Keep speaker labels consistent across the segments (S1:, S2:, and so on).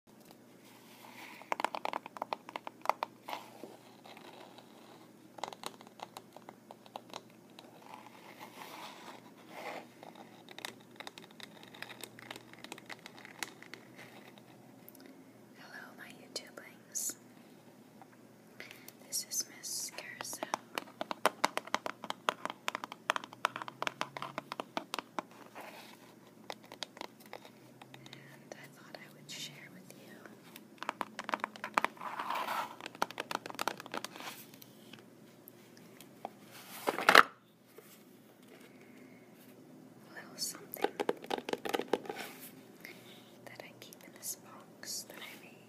S1: Hello, my YouTubelings. This is Miss Carousel and I thought I would share with you. A little something that I keep in this box that I made.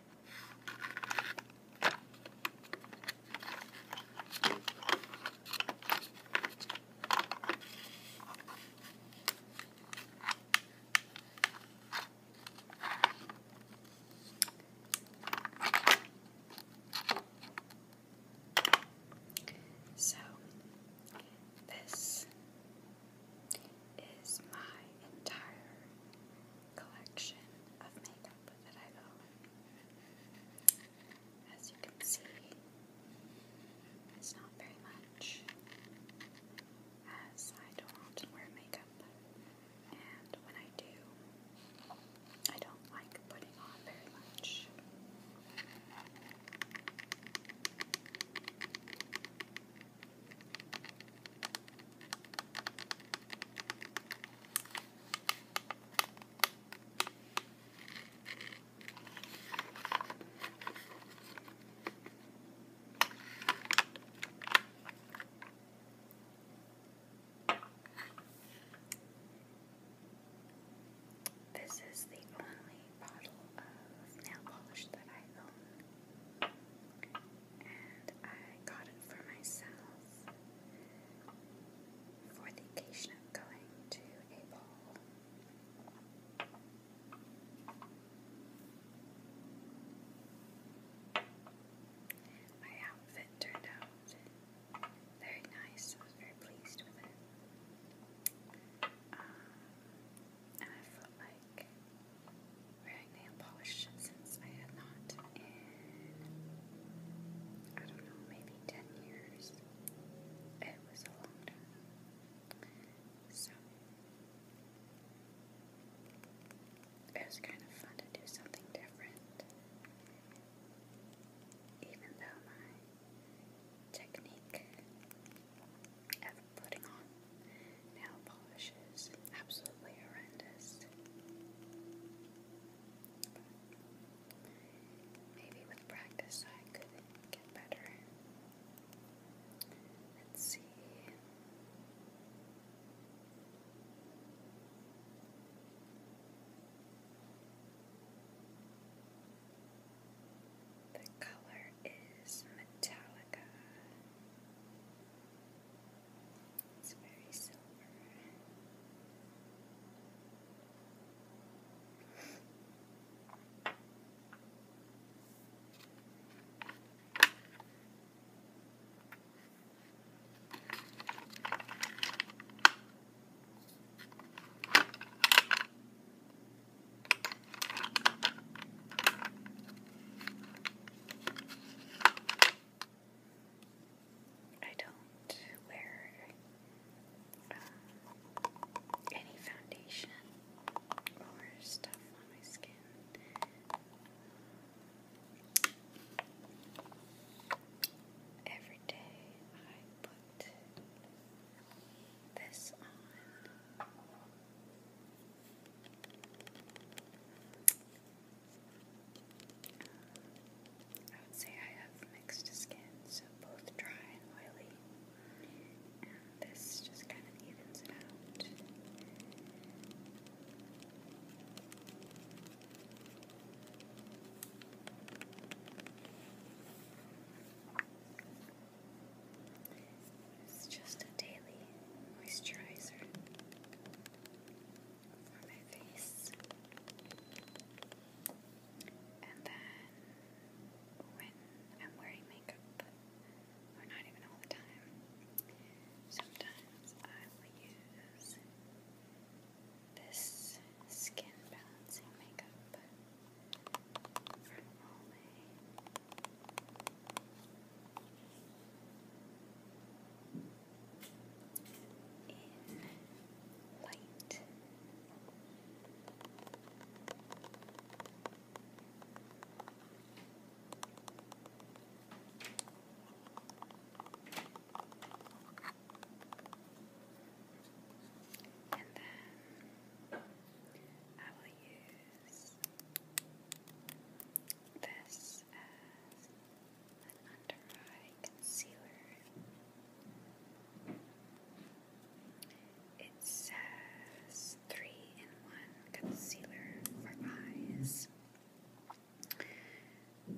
S1: So, this is my entire collection of makeup that I own. As you can see, it's not very much, as I don't often wear makeup, and when I do, I don't like putting on very much. This is the only bottle of nail polish that I own and I got it for myself for the occasion of going to a ball. My outfit turned out very nice. I was very pleased with it. Um, and I felt like like wearing nail polish since I had not in, I don't know, maybe 10 years. It was a long time. So, it was kind of fun to do something different. Even though my technique putting on nail polish is absolutely horrendous. maybe with practice I could get better. Let's see. The color is Metallica. It's very silver. I don't wear um, any foundation or stuff on my skin. Every day I put this on. I would say I have mixed skin, so both dry and oily. And this just kind of evens it out. It's just a daily moisturizer for my face. And then when I'm wearing makeup, or not even all the time, sometimes I will use this skin balancing makeup from Olay in light. And then I will use this an under eye concealer. It says three in one concealer for eyes.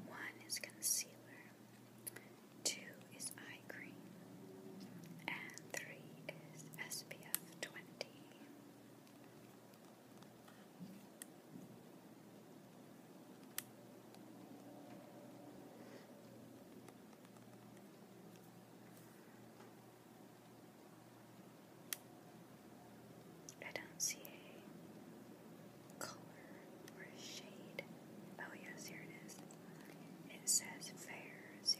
S1: One is concealer, two is eye cream, and three is SPF 20. I don't see a color or a shade. Oh, yes, here it is. It says Fair 05.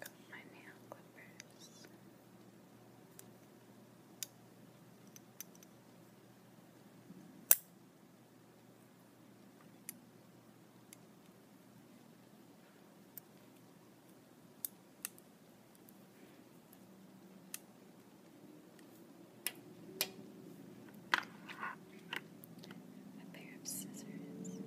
S1: Got my nail clippers. A pair of scissors.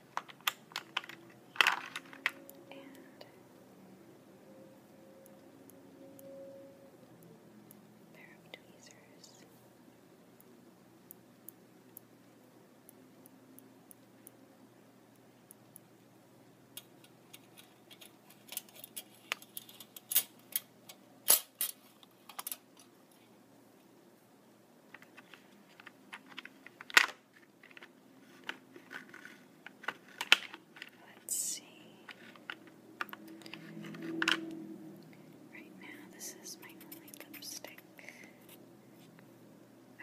S1: And a pair of tweezers. And Let's see. Right now, this is my only lipstick.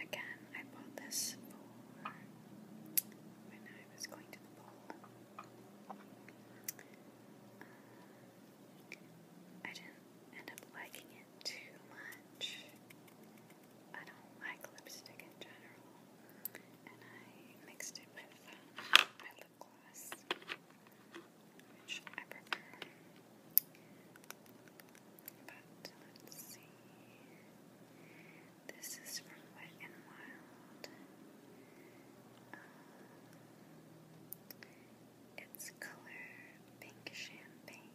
S1: Again, I bought this when I was going to the pool. Uh, I didn't end up liking it too much. I don't like lipstick in general, and I mixed it with um, my lip gloss, which I prefer. But let's see. This is from Wet and Wild. Um, it's color pink champagne.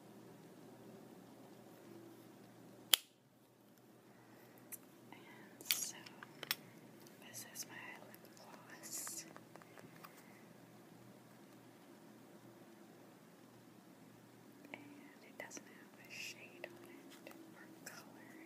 S1: And so, this is my lip gloss. And it doesn't have a shade on it or color.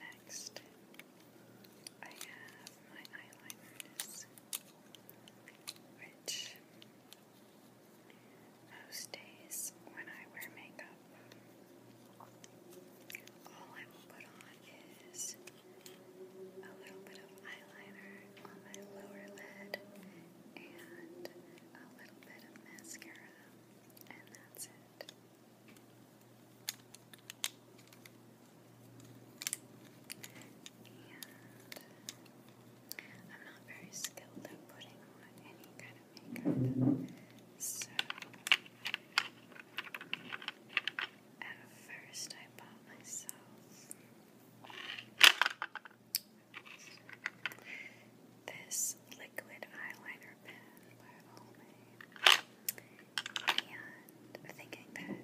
S1: Next, I have my eyeliners, which most days when I wear makeup, all I will put on is a little bit of eyeliner on my lower lid and a little bit of mascara, and that's it. And I'm not very skilled at putting on any kind of makeup, so at first I bought myself this liquid eyeliner pen by Olay, and thinking that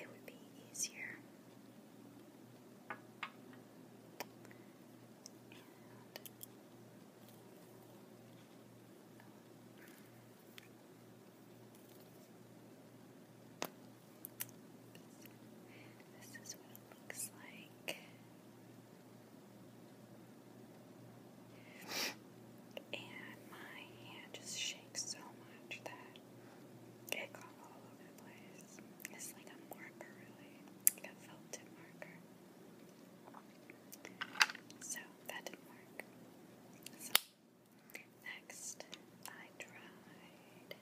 S1: it would be easier. this is what it looks like. And my hand just shakes so much that it got all over the place. It's like a marker, really, like a felt tip marker. So that didn't work. So next, I tried the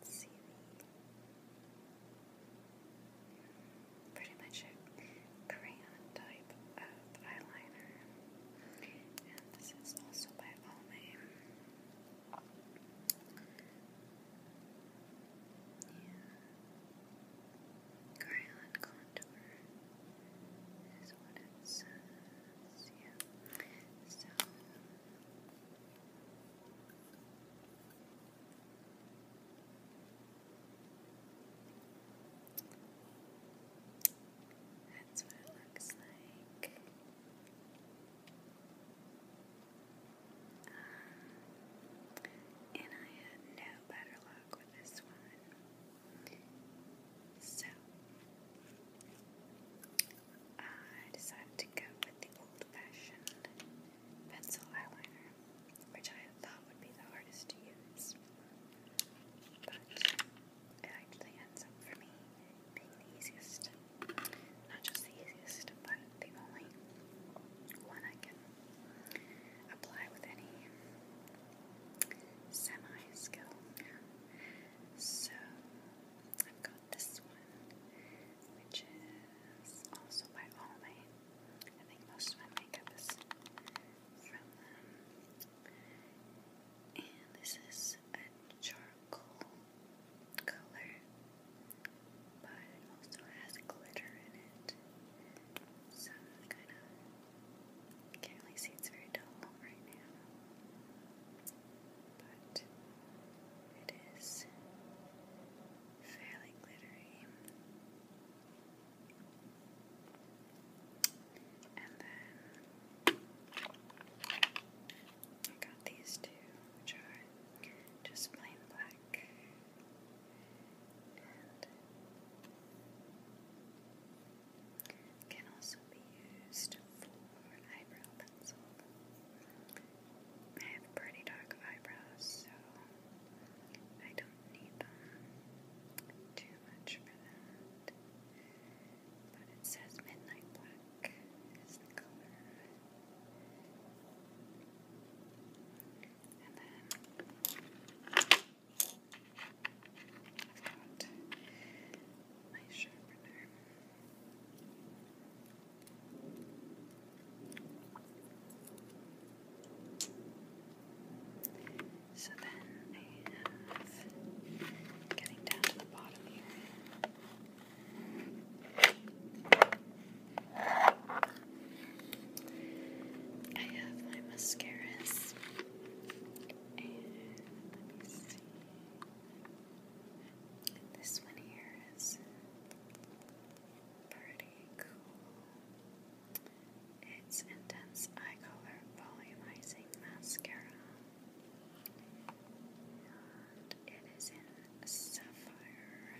S1: let's Pretty much crayon type of eyeliner. And this is also by Almay. Crayon contour is what it says. Yeah. So. That's what it looks like. Um, and I had no better luck with this one. So, I decided to go with the old fashioned pencil eyeliner, which I thought would be the hardest to use. But it actually ends up for me being the easiest. Not just the easiest, but the only one I can apply with any semi skill. So I've got this one, which is also by Almay. I think most of my makeup is from them. And this is a charcoal color, but also has glitter in it. So kind of can't really see, it's very dull right now but it is fairly glittery. And then I got these two, which are just plain black. And can also be used for eyebrow pencil. I have pretty dark eyebrows, so I don't need them too much for that. But it says midnight black is the color. And then I've got my sharpener. So then I have getting down to the bottom here. I have my mascaras, and let me see. This one here is Pretty cool. It's Intense Eye Color Volumizing Mascara. it is in sapphire.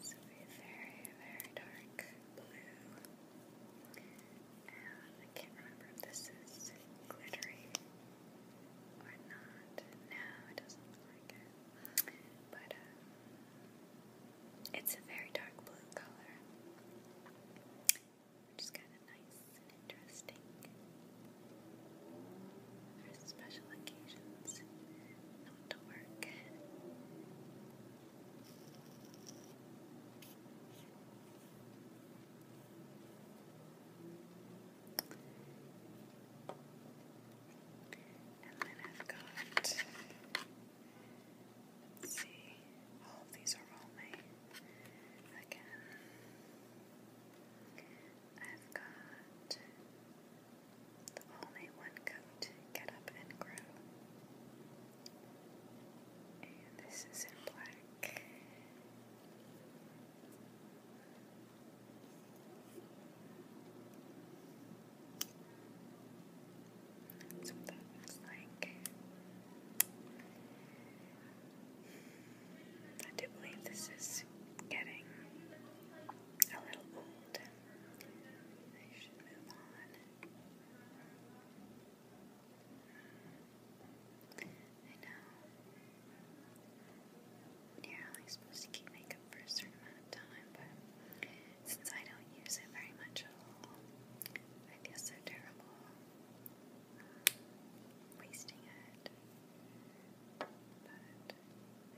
S1: So a very, very dark blue. And I can't remember if this is glittery or not. No, it doesn't look like it. But uh, it's a very dark blue color, which is kind of nice and interesting for special occasions. Not to work. And then I've got, see, all these are all my, again, I've got the only one coat, Get Up and Grow. this is in black. That's what that looks like. I do believe this is getting a little old. I should move on. I know you're only supposed to keep makeup for a certain amount of time, but since I don't use it very much at all, I feel so terrible um, wasting it. But I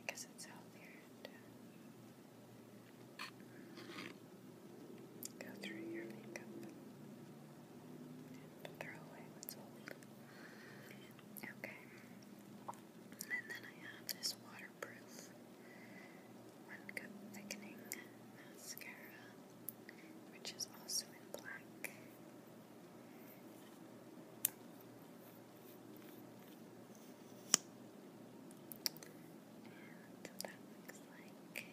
S1: guess it's healthier go through your makeup and throw away what's old. Okay. And then I have this waterproof One Thickening Mascara, which is also in black. And that looks like.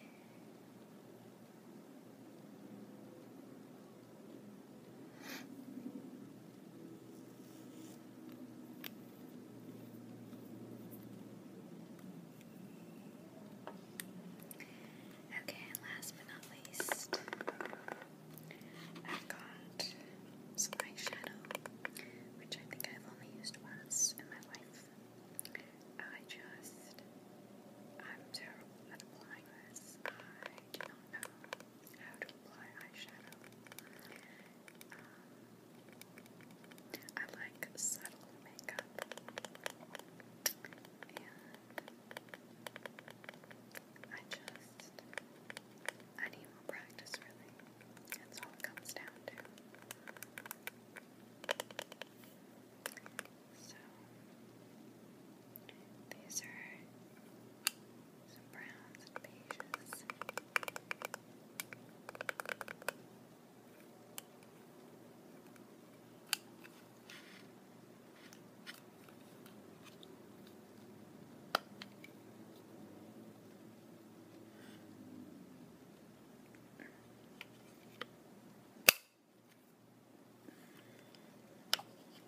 S1: Okay, and last but not least, i got eyeshadow, which I think I've only used once in my life. I just, I'm terrible applying this. I do not know how to apply eyeshadow. Um, I like subtle makeup, and I just I need more practice. Really, that's all it comes down to. So these are some browns and beiges.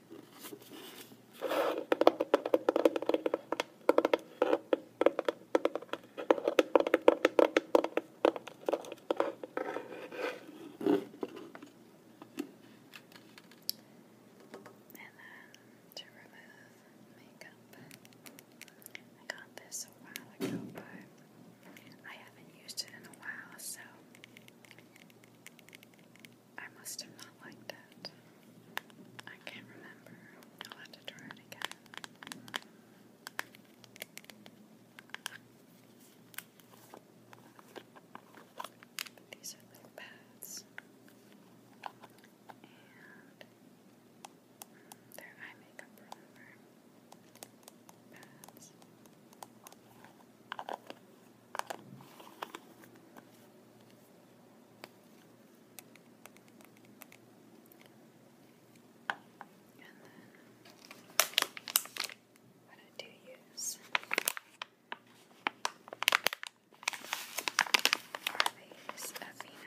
S1: And then to remove makeup, I got this a while ago, but I haven't used it in a while, so I must have not liked it. I can't remember. I'll have to try it again. But these are little pads. And mm, their eye makeup remover pads. And then what I do use are these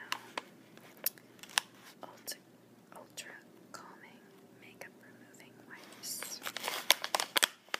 S1: Ultra, Ultra Calming Makeup Removing Wipes.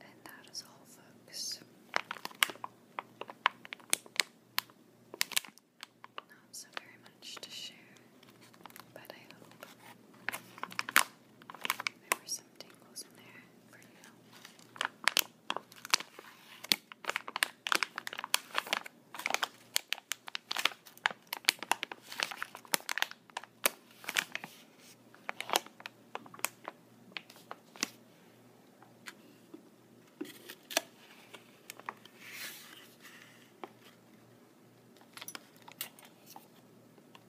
S1: And that is all, folks. Not so very much to share, but I hope there were some tingles in there for you. Okay.